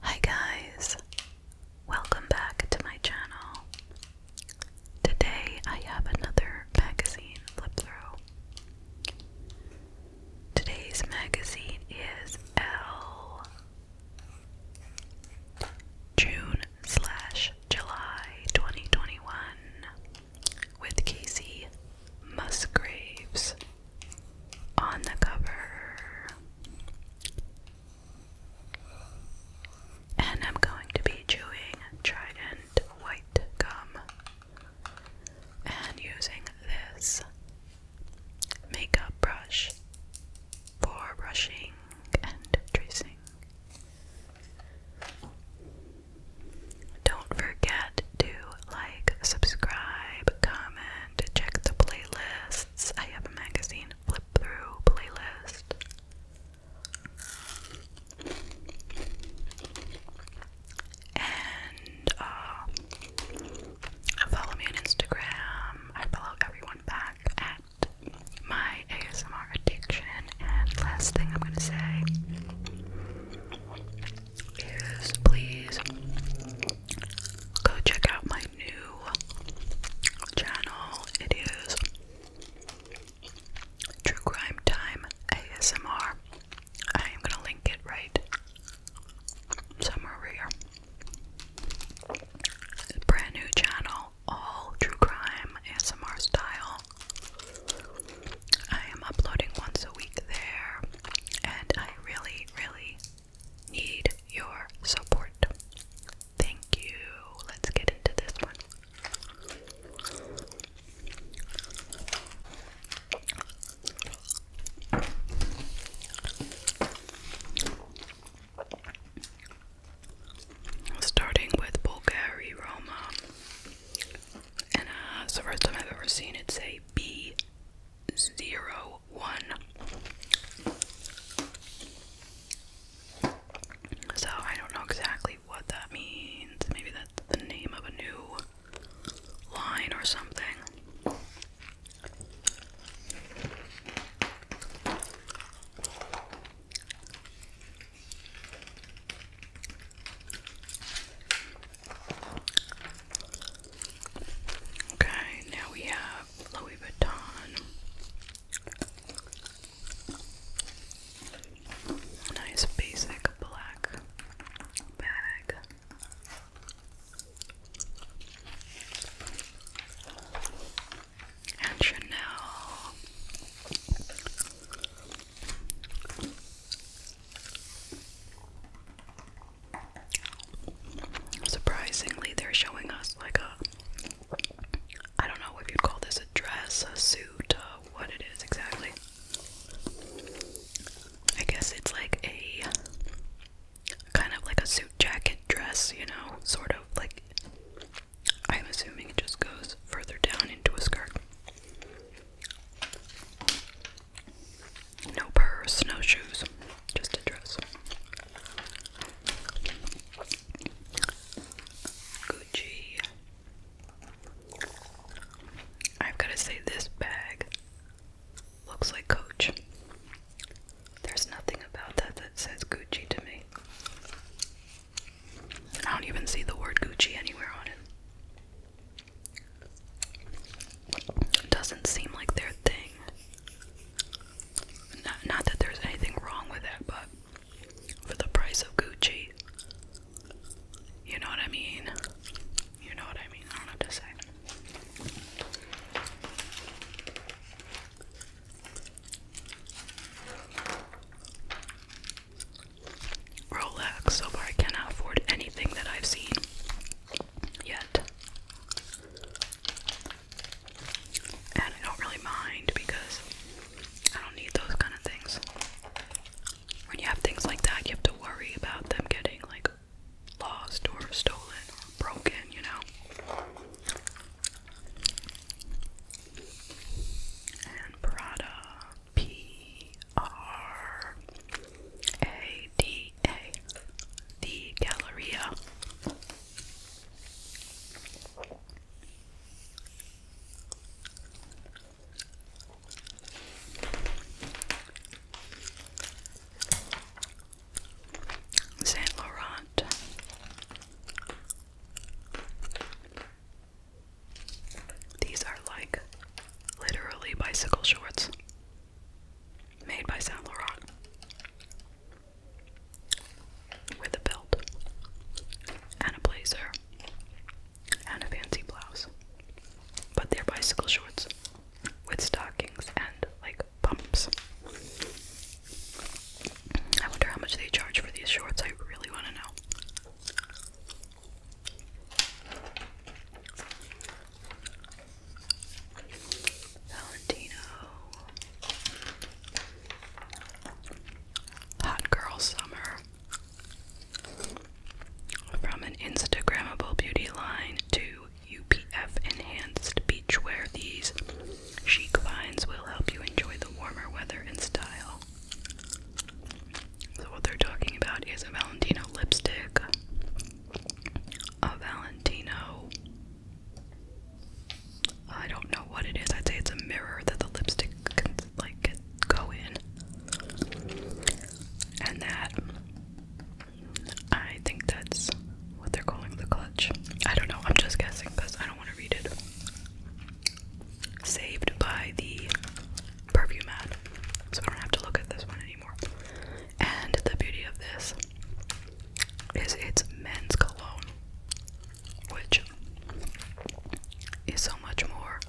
Hi guys, welcome back to my channel. Today I have another magazine flip through. Today's magazine is L June slash July 2021 with Casey Musgraves on the cover. And I'm going to be chewing Trident White Gum and using this makeup brush for brushing and tracing. Don't forget to like, subscribe, comment, check the playlists. I have a magazine flip through playlist. And uh, follow me on Instagram. I follow everyone back at my ASMR addiction. And last thing I'm gonna say is please go check out my new channel. It is True Crime Time ASMR. I am gonna link it right somewhere over here. Brand new channel, all true crime ASMR style. I am uploading once a week there, and I really, really need your support. Thank you. Let's get into this one. Starting with Bulgari Roma and uh, it's the first time I've ever seen it say B01. So I don't know exactly what that means. Maybe that's the name of a new line or something. Okay, now we have Louis Vuitton. Nice basic black bag. And Chanel. Surprisingly, they're showing us like a I don't know if you'd call this a dress, a suit, uh, what it is exactly. I guess it's like a kind of like a suit jacket dress, you know, sort of like I'm assuming it just goes further down into a skirt. No purse, no shoes, just a dress. Gucci. I've got to say, this bag looks like Coach. There's nothing about that that says Gucci to me. I don't even see the word Gucci anywhere on it. It Doesn't seem like their thing. not that there's anything wrong with it, but for the price of Gucci, you know what I mean? You know what I mean? I don't have to say. Rolex. So far, I cannot afford anything that I've seen yet. And I don't really mind because I don't need those kind of things. When you have things like that, you have to worry about them getting like lost or stolen or broken, you know. And Prada. P R A D A, the Galleria. Saint Laurent these are like literally bicycle shorts made by Saint Laurent with a belt and a blazer and a fancy blouse. But they're bicycle shorts with stockings and like pumps. I wonder how much they charge for these shorts. I really want to know. Valentino. Hot Girl Summer. From an Instagrammable beauty line to UPF enhanced beachwear, these chic finds will help you enjoy the warmer weather in style. So, what they're talking about is a Valentino lipstick, a Valentino. I don't know what it is. I'd say it's a mirror that the lipstick can like go in, and that I think that's what they're calling the clutch. I don't know. I'm just guessing because I don't want to read it saved by the perfume ad, so I don't have to look at this one anymore. And the beauty of this is it's men's cologne, which is so much more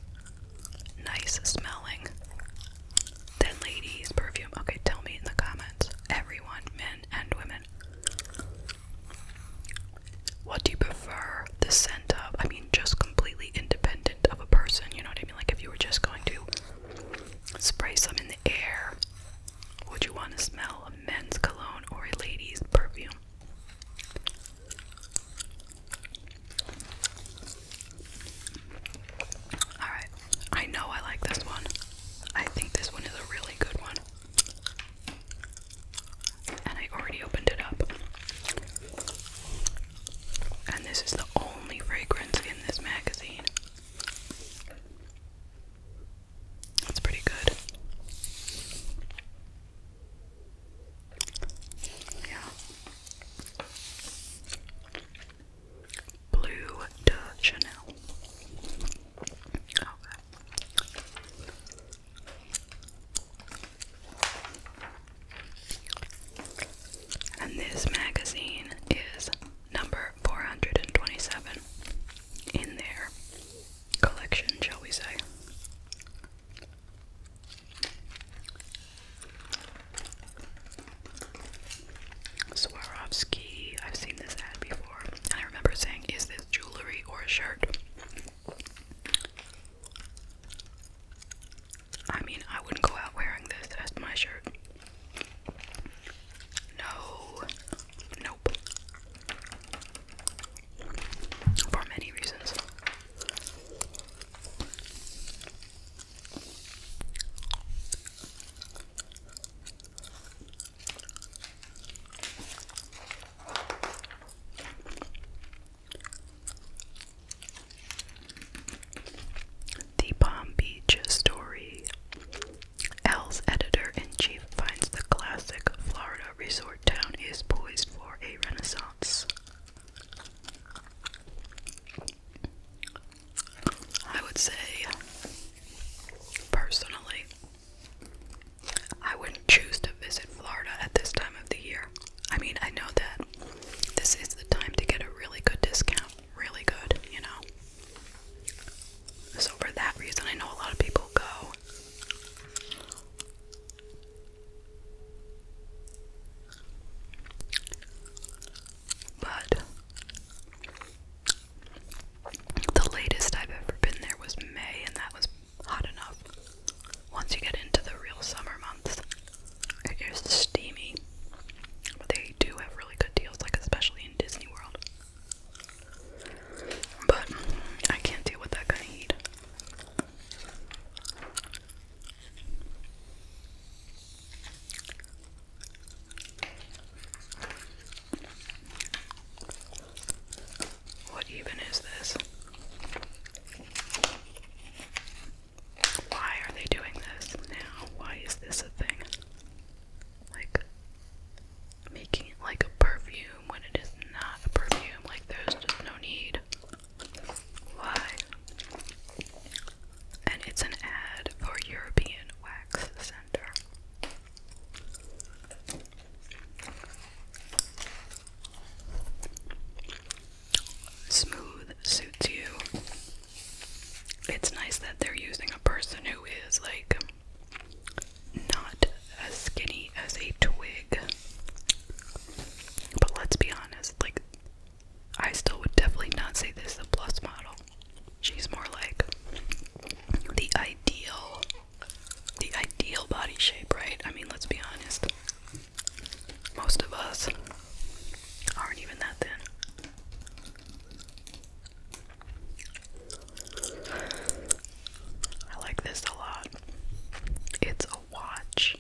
nice smelling than ladies' perfume. Okay, tell me in the comments, everyone, men and women. What do you prefer the scent of? I mean, just completely independent of a person, you know what I mean? Like if you were just going to spray some in the air, would you want to smell a men's cologne or a lady's perfume? Alright, I know I like this one. I think this one is a really good one. And I already opened it up and this is the only fragrance in this magazine. That's pretty good. Yeah. Blue de Chanel. Okay. And this magazine is number 427 in their collection, shall we say. Swarovski, I've seen this ad before. I remember saying, Is this jewelry or a shirt? I mean, I wouldn't go out wearing this as my shirt. No, nope. For many reasons. The Palm Beach Story. L's editor in chief finds the classic Florida resort town is poised for a renaissance. I would say, personally, I wouldn't choose to visit Florida at this time of the year. I mean, I know that this is the time to get a really good discount, really good, you know. So, for that reason, I know a lot of people go. But the latest I've ever been there was May, and that was hot enough. Once you get into the real summer months, it is steamy. But they do have really good deals, like especially in Disney World. But I can't deal with that kind of heat. What even is this? why are they doing this now? Why is this a thing? Like making it like a perfume when it is not a perfume, like there's just no need. Why? And it's an ad for European Wax Center smooth suits you. It's nice that they're using a person who is like not as skinny as a twig. But let's be honest, like I still would definitely not say this is a plus model. She's more like the ideal the ideal body shape, right? I mean, let's be honest most of us aren't even that thin. I like this a lot. It's a watch,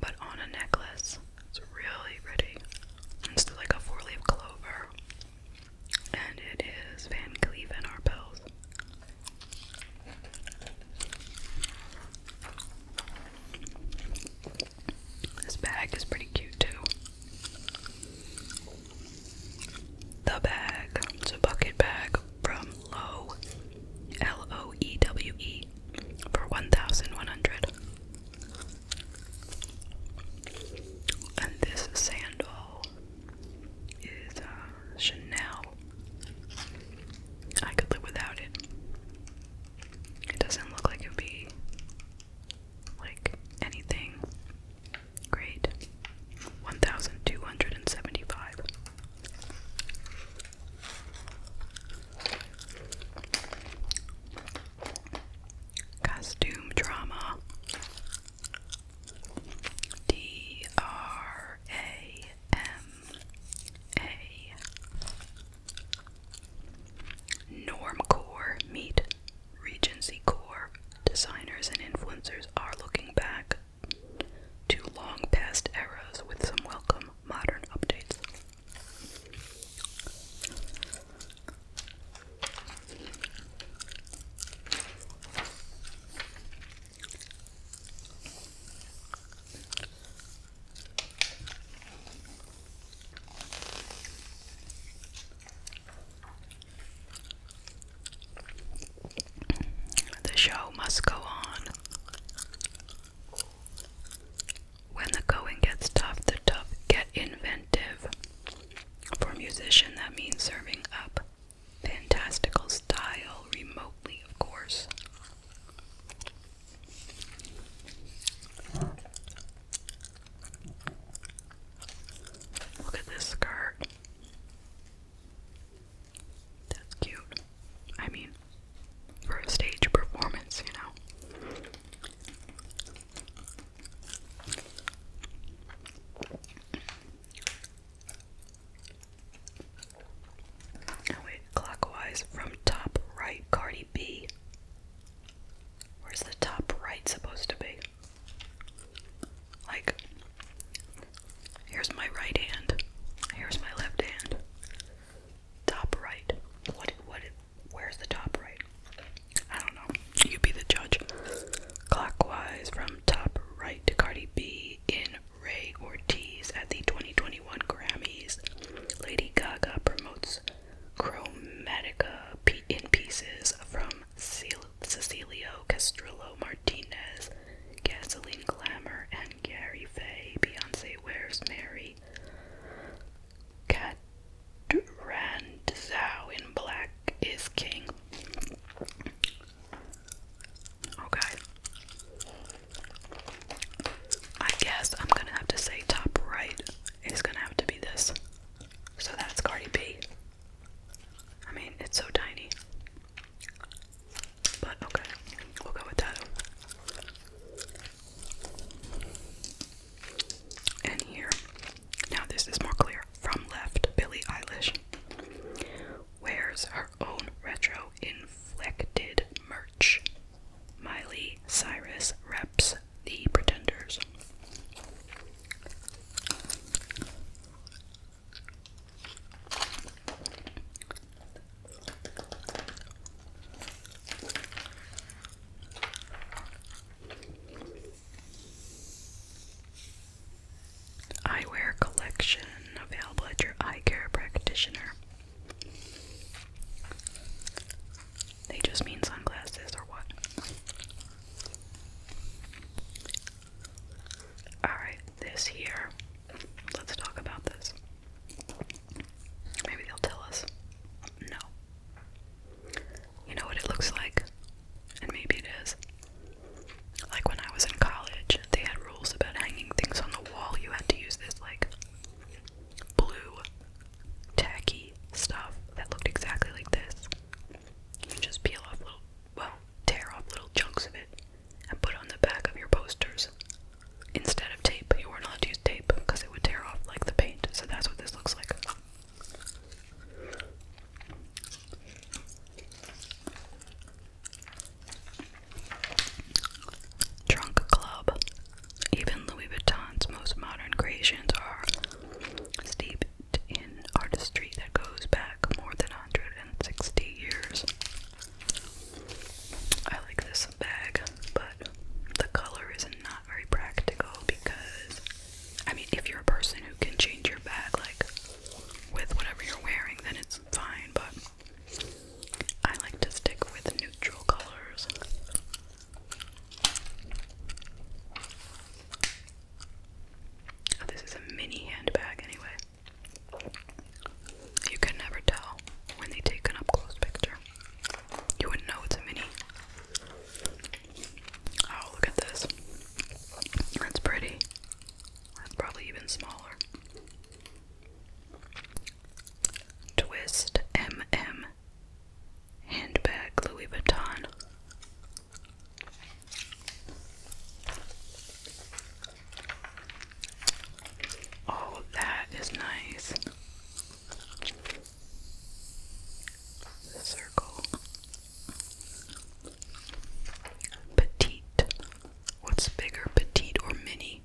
but on a necklace. It's really pretty. It's like a four leaf clover. And it is Van Cleef and Arpels. This bag is pretty cute too. The bag. It's a bucket bag from Lowe, L O E W E, for 1100 And this sandal is uh, Chanel. I could live without it. It doesn't look like it'd be like anything great. 1275. Costume drama. D R A M A Normcore meet Regency Core. Designers and influencers are looking back to long past eras with some welcome modern updates. The show must go on. When the going gets tough, the tough get inventive. For a musician, that means serving up fantastical style remotely, of course. Look at this skirt. That's cute. I mean, for a stage performance, you know. I oh, went clockwise from top right, Cardi B. Where's the top right supposed to be? Like, here's my right hand, here's my left hand. Top right. What? What? Where's the top right? I don't know. You be the judge. Clockwise from top right to Cardi B in Ray Ortiz at the 2021 Grammys. Lady Gaga promotes Chromatica in pieces from Cecilio Castrillo Martinez, Gasoline Glamour, and Gary Faye. Beyonce Where's Mary. Kat in Black is King. Okay. I guess I'm gonna have to say top right is gonna have to be this. So that's Cardi B. I mean, it's so tiny. But okay, we'll go with that. And here, now this is more clear. From left, Billie Eilish wears her own retro in reflected merch. Miley Cyrus reps the Pretenders. Eyewear collection available at your eye care practitioner. They just mean sunglasses or what? Alright, this here. Let's talk about this. Maybe they'll tell us. No. You know what it looks like? And maybe it is. Like when I was in college, they had rules about hanging things on the wall. You had to use this, like, blue, tacky stuff that looked exactly like this. You just peel off little, well, tear off little chunks of it and put on the back of your posters instead of tape. You weren't allowed to use tape because it would tear off like the paint, so that's what this looks like. Trunk Club. Even Louis Vuitton's most modern creations are steeped in artistry that goes back more than 160 years. I like this bag, but the color is not very practical because, I mean, if you're a person who can change your bag like with whatever you're wearing, then it's fine. But I like to stick with neutral colors. Oh, this is a mini handbag, anyway. You can never tell when they take an up close picture. You wouldn't know it's a mini. Oh, look at this. That's pretty. That's probably even smaller. Twist M MM Handbag Louis Vuitton Oh, that is nice. circle. Petite. What's bigger, petite or mini?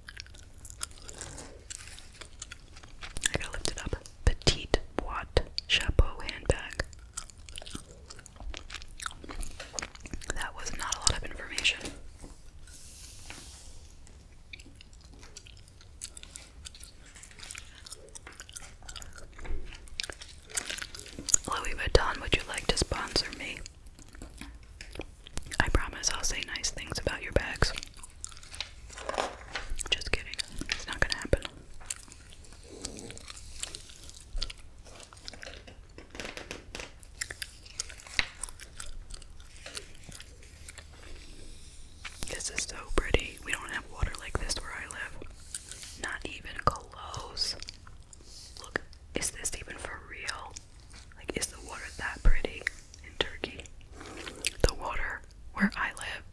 I gotta lift it up. Petite Boîte Chapeau handbag. That was not a lot of information. Louis Vuitton, would you like to sponsor me? I promise I'll say nice things about your bags. Just kidding. It's not gonna happen. This is so pretty. We don't have water like this where I live. Not even close. Look, is this even for real? Like, is the water that pretty in Turkey? The water where I live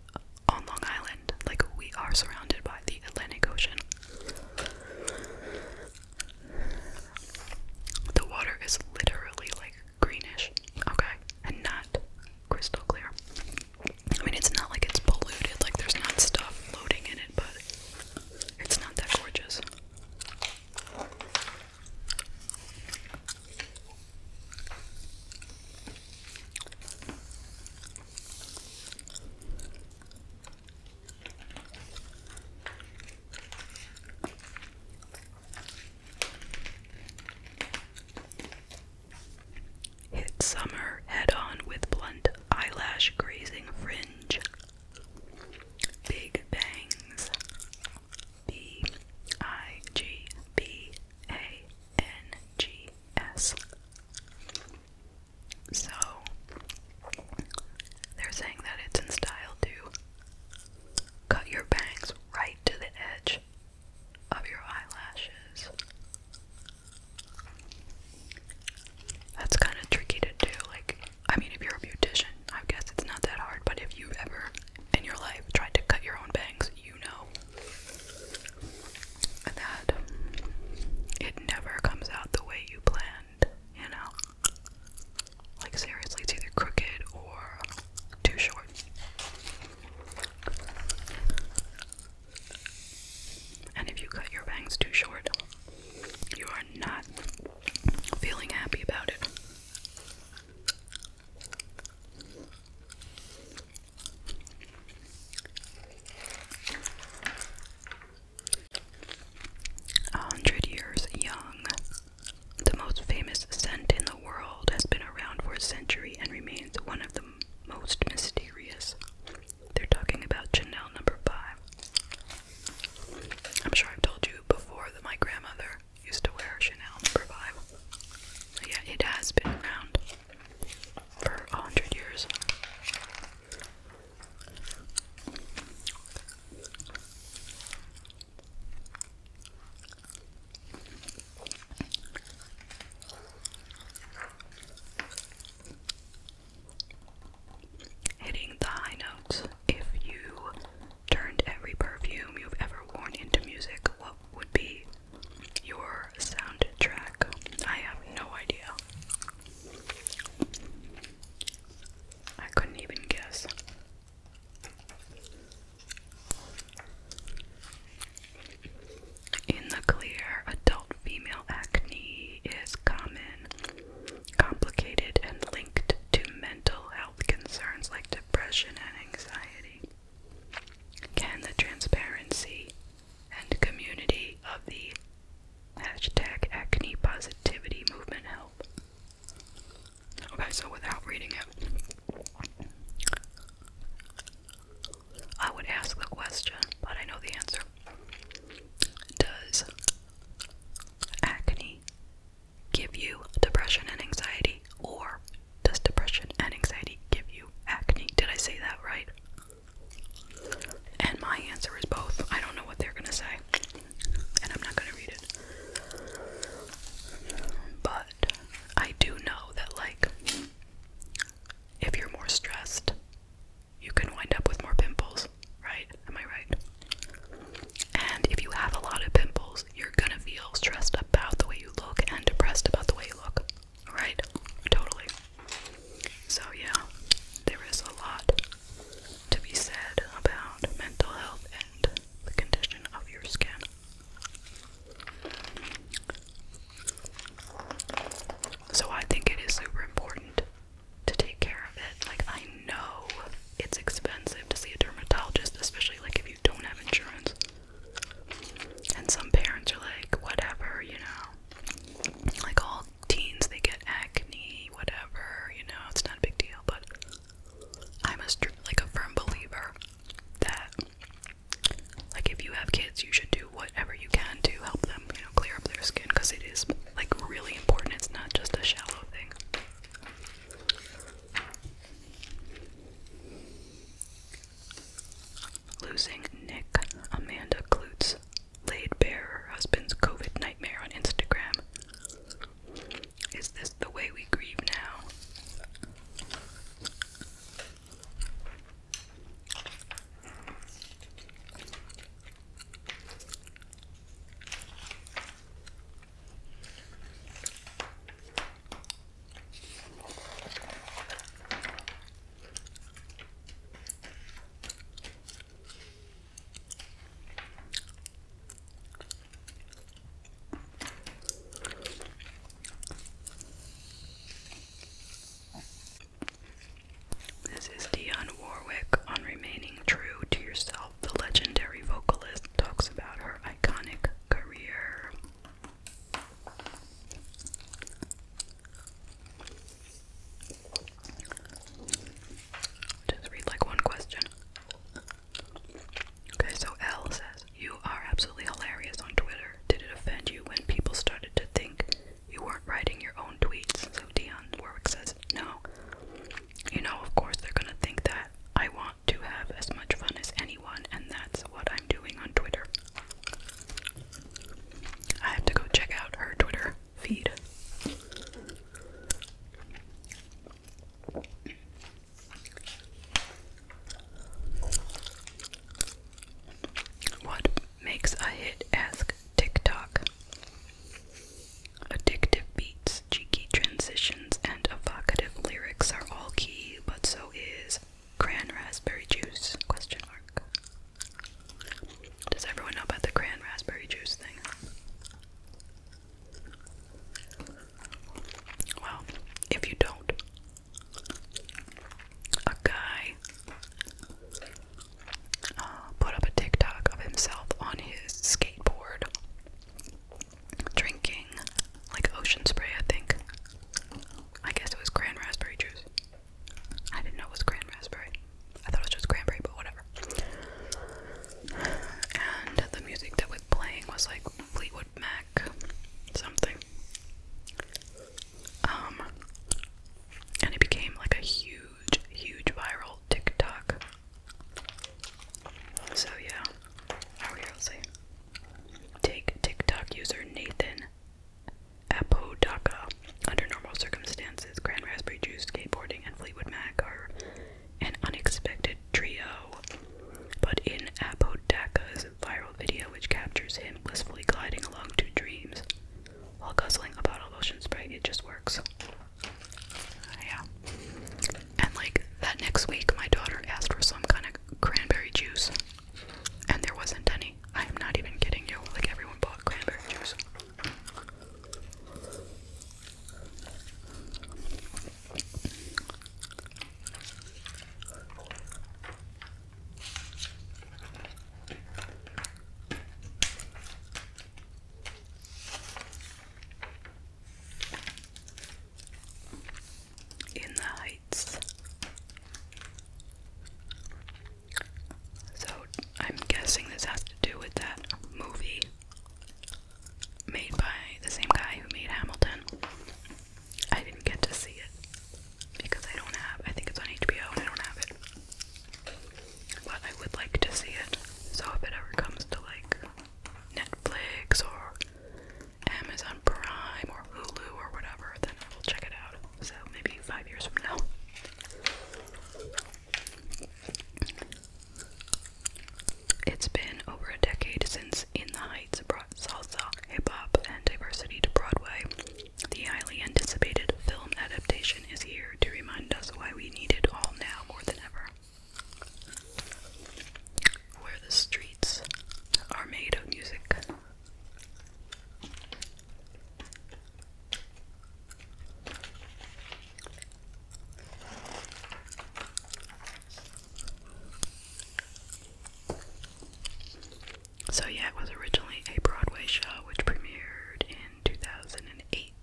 on Long Island, like, we are surrounded by the Atlantic Ocean. The water is literally like greenish, okay, and not crystal clear. I mean, it's not like it's polluted, like, there's not stuff floating in it, but it's not that gorgeous. Hit summer head on with blunt eyelash grazing fringe. Big bangs. B I G B A N G S. So they're saying that it's in style to cut your bangs right to the edge of your eyelashes. That's kind of tricky to do, like I mean, if you're a beautician, I guess it's not that hard, but if you've ever in your life tried to cut your own bangs, you know that it never comes out the way you planned, you know? Like, seriously, it's either crooked or too short. And if you cut your bangs too short, you are not feeling happy about it. A hundred years young. The most famous scent in the world has been around for a century and remains one of the most mysterious. They're talking about Chanel number five. I'm sure I've told you before that my grandmother used to wear Chanel number five. yeah, it has been around for a hundred years. Hitting the high notes if you turned every perfume you've ever worn into music, what would be your soundtrack? I have no idea. I couldn't even guess. In the clear, adult female acne is common complicated and linked to mental health concerns like depression and anxiety. Can the transparency and community of the hashtag acne positivity movement help? Okay, so without reading it, I would ask the question, but I know the answer. Does acne give you depression and anxiety, or does depression and anxiety give you acne? Did I say that right? And my answer is both. I don't know what they're going to say, and I'm not going to read it. But I do know that, like, if you're more stressed, you can wind up with more pimples, right? Am I right? And if you have a lot of pimples, you're gonna feel stressed about the way you look and depressed about the way you look. Right? Totally. So, yeah, there is a lot to be said about mental health and the condition of your skin. So, I think it is super important to take care of it. Like, I I know it's expensive to see a dermatologist, especially like if you don't have insurance. And some parents are like, whatever, you know. Like all teens, they get acne, whatever, you know, it's not a big deal. But I'm a like a firm believer that, like, if you have kids, you should do whatever you can to help them, you know, clear up their skin because it is like really important. It's not just a shallow thing. Losing Nick, Amanda Klutz laid bare her husband's COVID nightmare on Instagram. Is this the way we grieve now? This is Dion Warwick on remaining true to yourself the legendary vocalist talks about her iconic career. Just read like one question. Okay, so Elle says, You are absolutely hilarious on Twitter. Did it offend you when people started to think you weren't writing your own tweets? So Dion Warwick says, No you know, of course, they're gonna think that I want to have as much fun as anyone, and that's what I'm doing on Twitter. I have to go check out her Twitter feed. What makes a hit? Ask TikTok. Addictive beats, cheeky transitions, and evocative lyrics are all key, but so is cran raspberry juice? Question mark. Does everyone know about the cran raspberry juice thing? Well, if you don't, a guy uh, put up a TikTok of himself on his skateboard drinking like ocean spray, I think. I guess it was cran raspberry juice. I didn't know it was cran raspberry. I thought it was just cranberry, but whatever. And the music that was playing was like Fleetwood Mac something. Um and it became like a huge, huge viral TikTok so yeah, over here, let's see. Take TikTok user Nathan Apodaca. Under normal circumstances, Grand Raspberry Juice, Skateboarding, and Fleetwood Mac are an unexpected trio. But in Apodaca's viral video, which captures him blissfully gliding along to dreams while guzzling a bottle of ocean spray, it just works. Yeah. And like that next week, my daughter asked for some kind of cranberry juice, and there wasn't any. I am not even kidding you. Like everyone bought cranberry juice in the heights. So I'm guessing this has to do with that movie made by the same guy who made Hamilton. I didn't get to see it because I don't have I think it's on HBO and I don't have it. But I would like to see it. So if it ever comes to like Netflix or Amazon Prime or Hulu or whatever, then I will check it out. So maybe five years from now. It's been over a decade since In the Heights brought salsa, hip hop, and diversity to Broadway. The highly anticipated film adaptation is here to remind us why we need it all now more than ever where the streets are made of music. So, yeah, it was originally a Broadway show which premiered in 2008.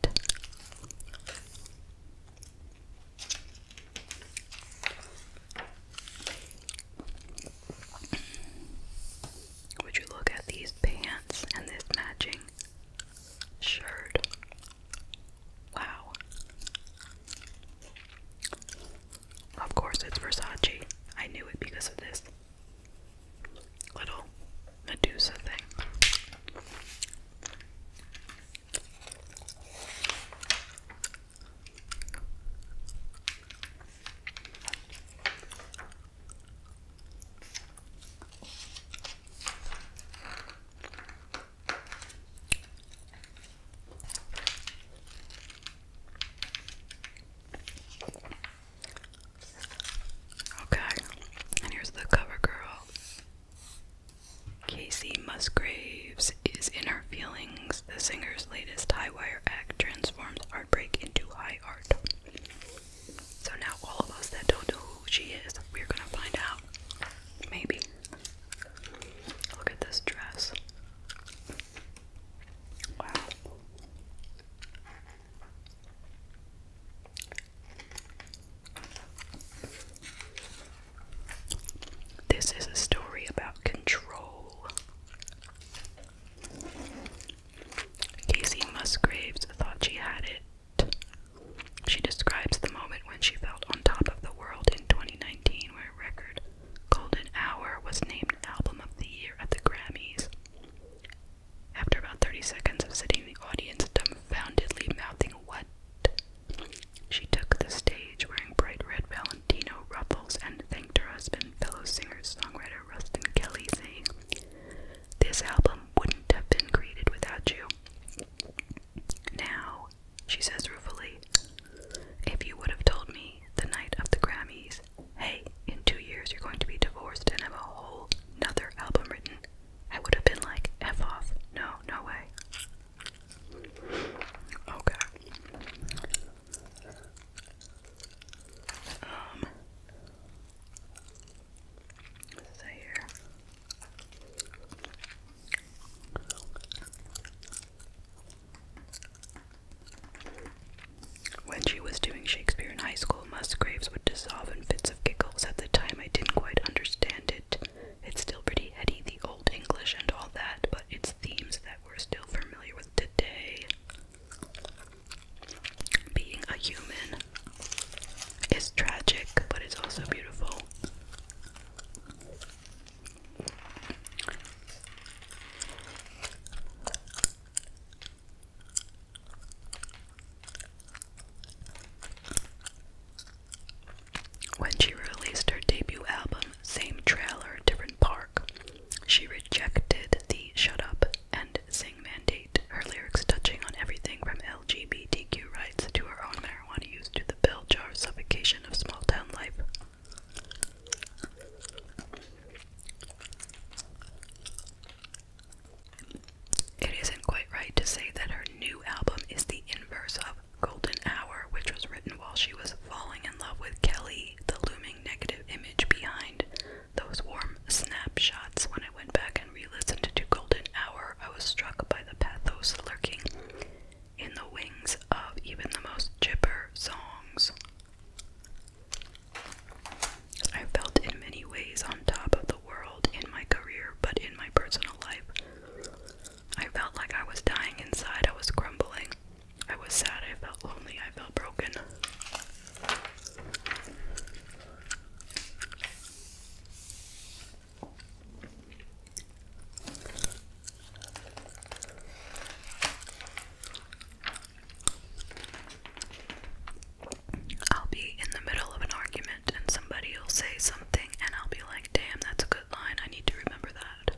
Would you look at these pants and this matching shirt? Wow. Of course, it's Versace. I knew it because of this little Medusa thing. Okay, and here's the cover Casey Musgraves is in her feelings. The singer's latest high wire act transforms heartbreak into high art. So now all of us that don't know who she is, we're gonna find out. Maybe. Look at this dress. Wow. This is a story about control. Casey Musgraves thought she had it. She describes the moment when she felt on top of the world in 2019, where her record, Golden Hour, was named Album of the Year at the Grammys. After about 30 seconds of sitting, the audience dumbfoundedly mouthing, What? She took the stage wearing bright red Valentino ruffles and thanked her husband, fellow singer-songwriter Rustin Kelly, saying, This album wouldn't have been created without you. Now, she says ruefully, if you would have told me the night of the Grammys, hey, in two years you're going to be divorced and have a whole nother album written, I would have been like, F off. No, no way. Okay. Um, let here. When she was doing Shakespeare in high school, Musgraves would dissolve in fits of giggles. At the time, I didn't quite understand it. It's still pretty heady, the Old English and all that, but it's themes that we're still familiar with today. Being a human is tragic, but it's also beautiful. When she released her debut album, Same Trailer, Different Park, she rejected the Shut Up and Sing mandate, her lyrics touching on everything from LGBTQ rights to her own marijuana use to the pill jar suffocation of small town life. It isn't quite right to say that her new album is the inverse of Golden Hour, which was written while she was falling in love with Kelly, the looming negative image behind those warm snapshots. When I went back and re listened to Golden Hour, I was struck by the pathos lurking in the wings of even the most gibber songs. I felt in many ways on top of the world in my career, but in my personal life, I felt like I was dying inside, I was crumbling. I was sad, I felt lonely, I felt broken. I'll be in the middle of an argument and somebody will say something and I'll be like, damn, that's a good line. I need to remember that.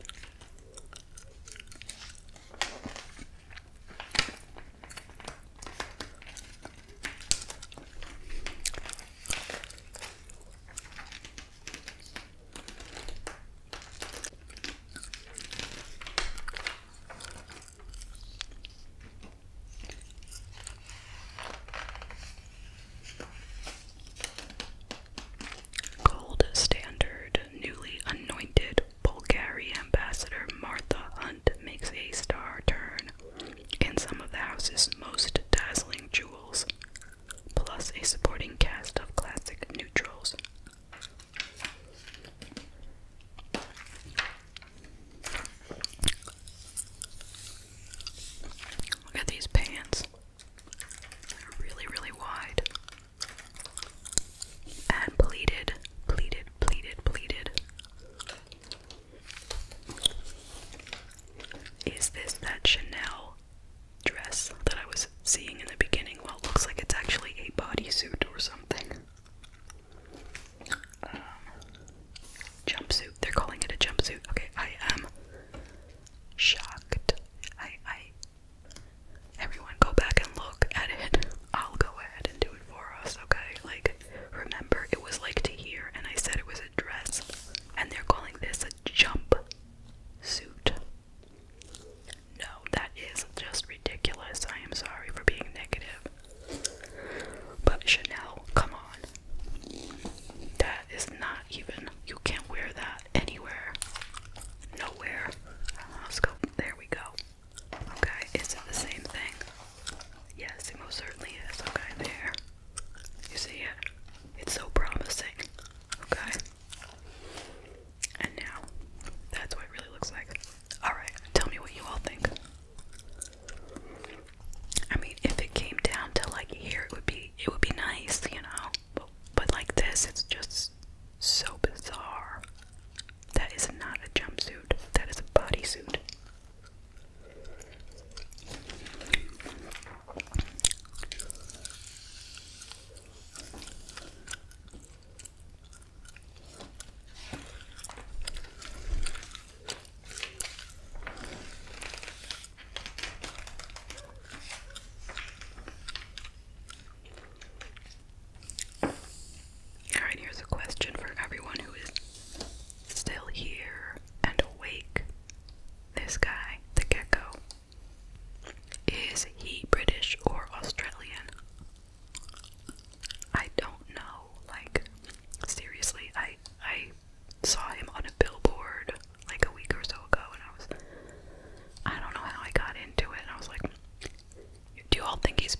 Gold standard, newly anointed Bulgarian ambassador Martha Hunt makes a star turn in some of the house's most dazzling jewels, plus a supporting cast of classic neutrals. Look at these pants. They're really, really wide. And pleated, pleated, pleated, pleated. Is this that Chanel dress that I was seeing in the beginning? Well, it looks like it's actually a bodysuit or something. Um, Jumpsuit. They're calling it a jumpsuit. Okay, I am shocked. I I everyone go back and look at it. I'll go ahead and do it for us, okay? Like remember it was like to here and I said it was a dress and they're calling this a jump suit. No, that is just ridiculous. I am sorry for being negative. But Chanel, come on. That is not even, you can't wear that anywhere. Nowhere. Let's go. There we go. Okay, is it the same thing? Yes, it most certainly is. Okay, there. You see it? It's so promising. Okay. And now, that's what it really looks like. Alright, tell me what you all think. I mean, if it came down to like here, it would be it would be nice, you know. But, like this, it's just so bizarre. That is not a jumpsuit. That is a bodysuit. Alright, here's a question for everyone who is still here and awake. This guy, the gecko, is he British or Australian? I don't know. Like, seriously, I I saw him on a billboard like a week or so ago, and I was, I don't know how I got into it. And I was like, do you all think he's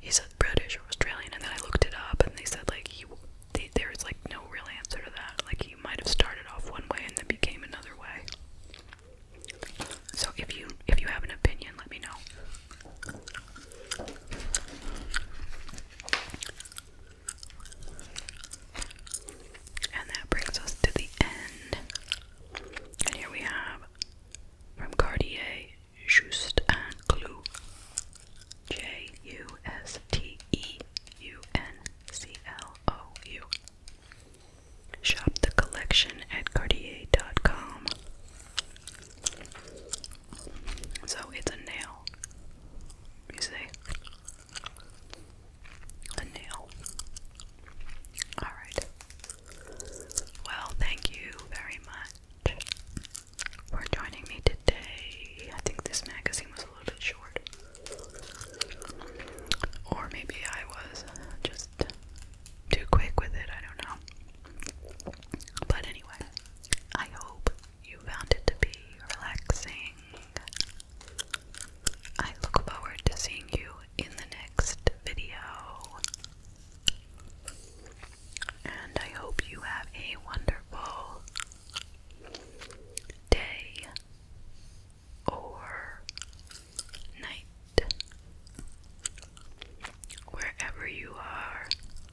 he's British or Australian? And then I looked it up, and they said like he they, there's like no real answer to that. Like he might have started off one way and then became another way. So if you if you have an opinion, let me know. And that brings us to the end. And here we have from Cartier Just and Clou J U S T E U N C L O U. Shop the collection at Cartier.com. So it's a nail. You see? A nail. Alright. Well, thank you very much for joining me today. I think this magazine was a little bit short. Or maybe I was just too quick with it, I don't know. But anyway, I hope you found it to be relaxing. I look forward to seeing you in the next video. And I hope you have a wonderful day or night wherever you are.